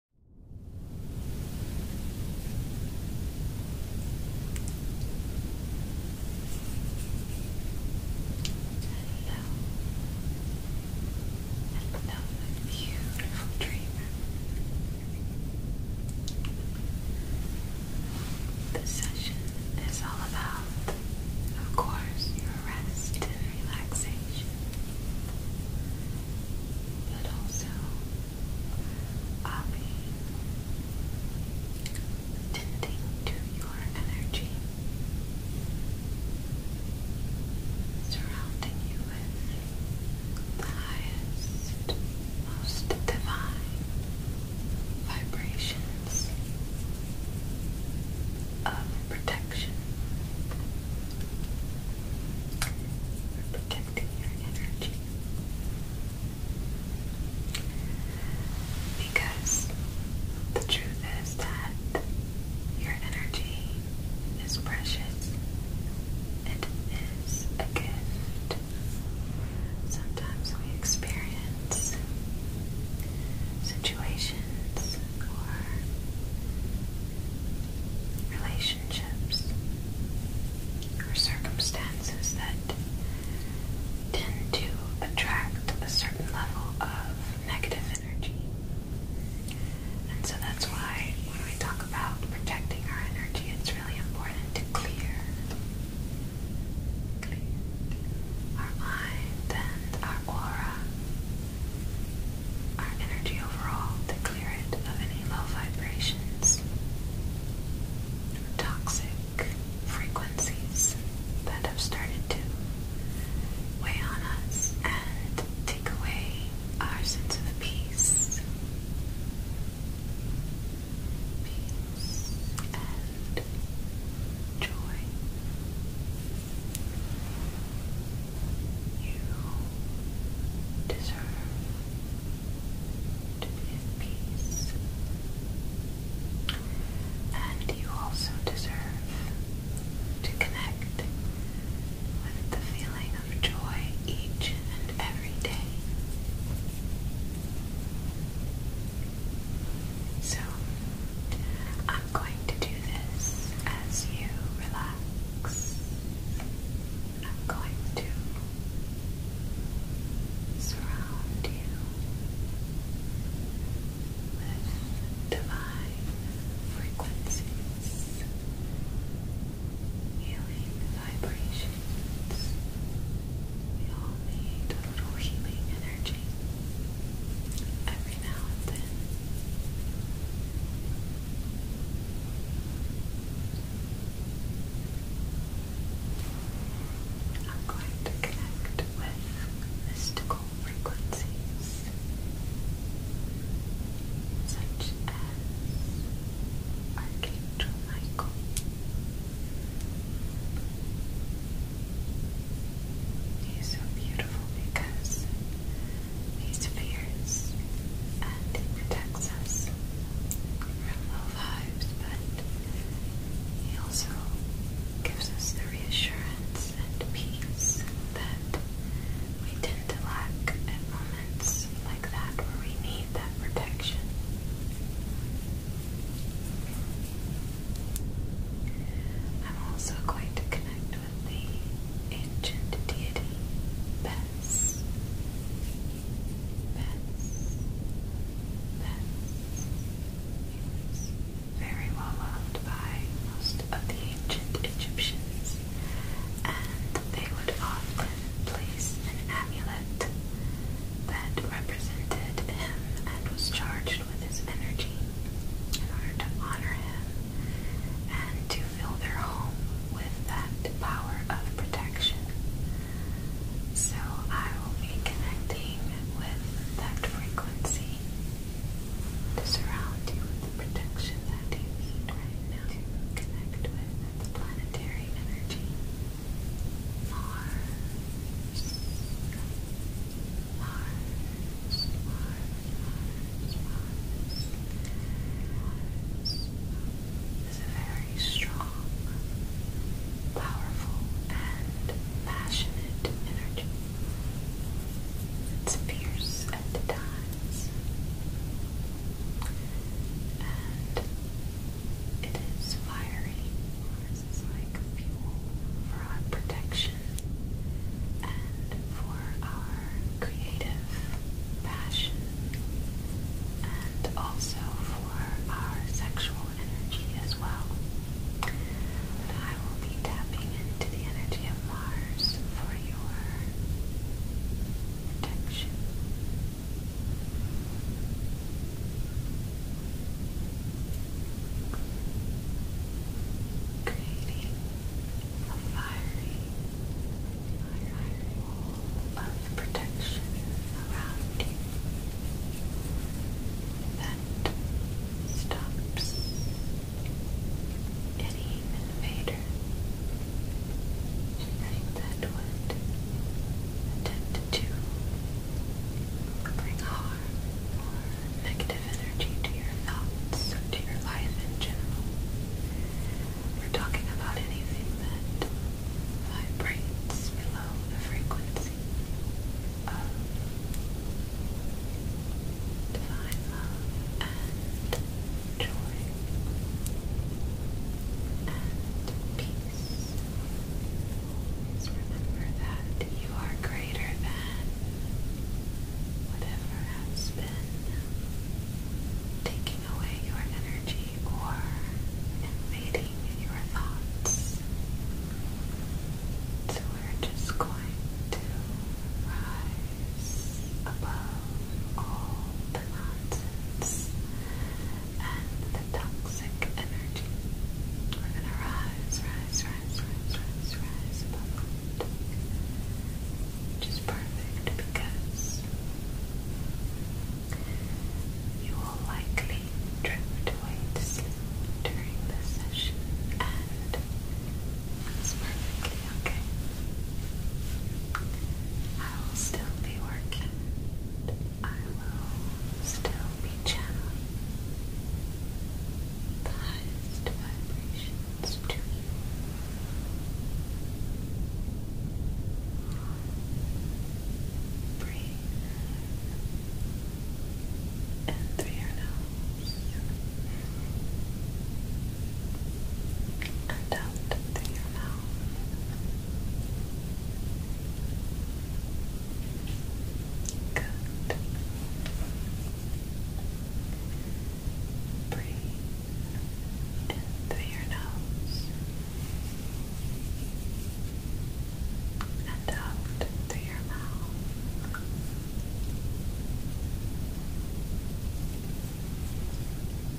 Another beautiful dream. This session is all about, of course, your rest and relaxation but also I'll be tending to your energy, surrounding you with the highest, most divine vibrations of protection protecting your energy because the truth is that your energy is precious. It is a gift. Sometimes we experience situations where relationships or circumstances that tend to attract a certain level of negative energy. And so that's why when we talk about protecting our energy, it's really important to clear, our mind and our aura our energy overall to clear it of any low vibrations or toxic frequencies that have started to weigh on us and take away our sense of peace. Peace and joy. You deserve to be at peace. And you also deserve to connect with the feeling of joy each and every day. So, i I'm going to do this as you relax. I'm going to surround you with divine frequencies, healing vibrations. We all healing energy. I'm going to connect with mystical frequencies such as Archangel Michael. He's so beautiful because He's fears and he protects us from low vibes, but he also gives us the reassurance and peace that we tend to lack at moments like that where we need that protection. I'm also going to connect the ancient deity Bess. Bess. Bess. He was very well loved by most of the ancient Egyptians, and they would often place an amulet that represented him and was charged with his energy in order to honor him and to fill their home with that power of protection. So I will be connecting with that frequency to surround you with the protection that you need right now to connect with the planetary energy. Mars. Mars, is a very strong, powerful, and passionate energy. It's fierce at times, and it is fiery. Mars is like fuel for our protection and for our creative passion and also for our sexual energy as well. I will be tapping into the energy of Mars for your protection creating a fiery, fiery wall of protection around you that stops any invader, anything that would attempt to bring harm negative energy to your thoughts or to your life in general. We're talking about anything that vibrates below the frequency of divine love and joy and peace. remember that you are greater than whatever has been taking away your energy or invading your thoughts. So we're just going to rise above all the nonsense and the toxic energy. We're going to rise, rise, rise, rise, rise, rise Which is perfect because you will likely drift away to sleep during this session and that's perfectly okay. I will still be working. I will still be channeling the highest you. through your nose and out through your mouth. Good. Breathe in through your nose and out through your mouth. Good.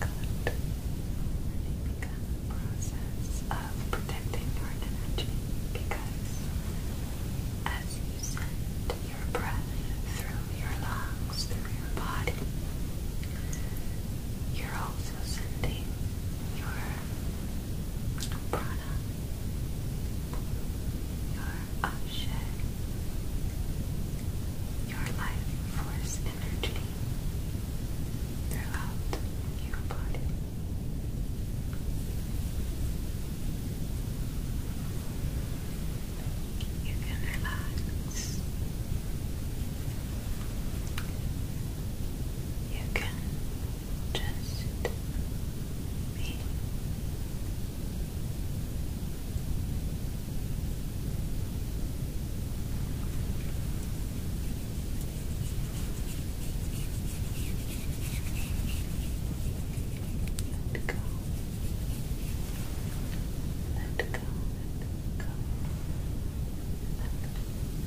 Begin the process of protecting your energy because as you send your breath through your lungs, through your body. You're also sending your prana, your ashe, your life force energy throughout your body. You can relax. You can just be. Let go. Let go. Let go. Let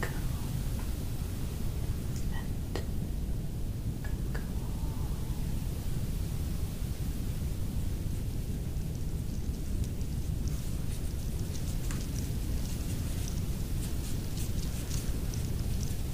go. Let go. Let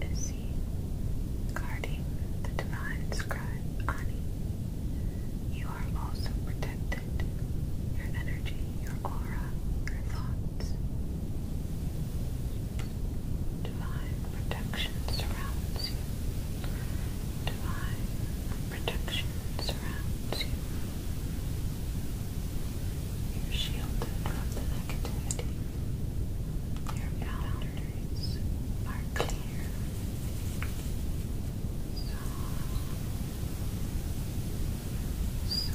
is guarding the divine scribe Ani? You are also protected. Your energy, your aura, your thoughts. Divine protection surrounds you. Divine protection surrounds you. You're shielded from the negativity. Your boundaries are clear. So, so, so.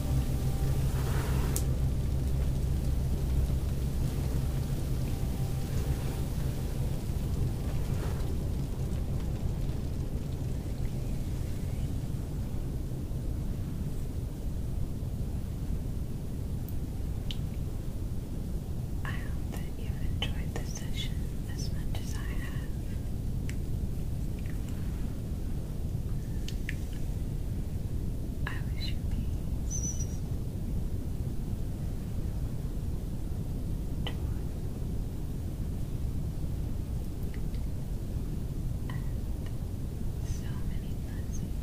I hope that you enjoyed this session as much as I have. I wish you peace, joy, and so many blessings.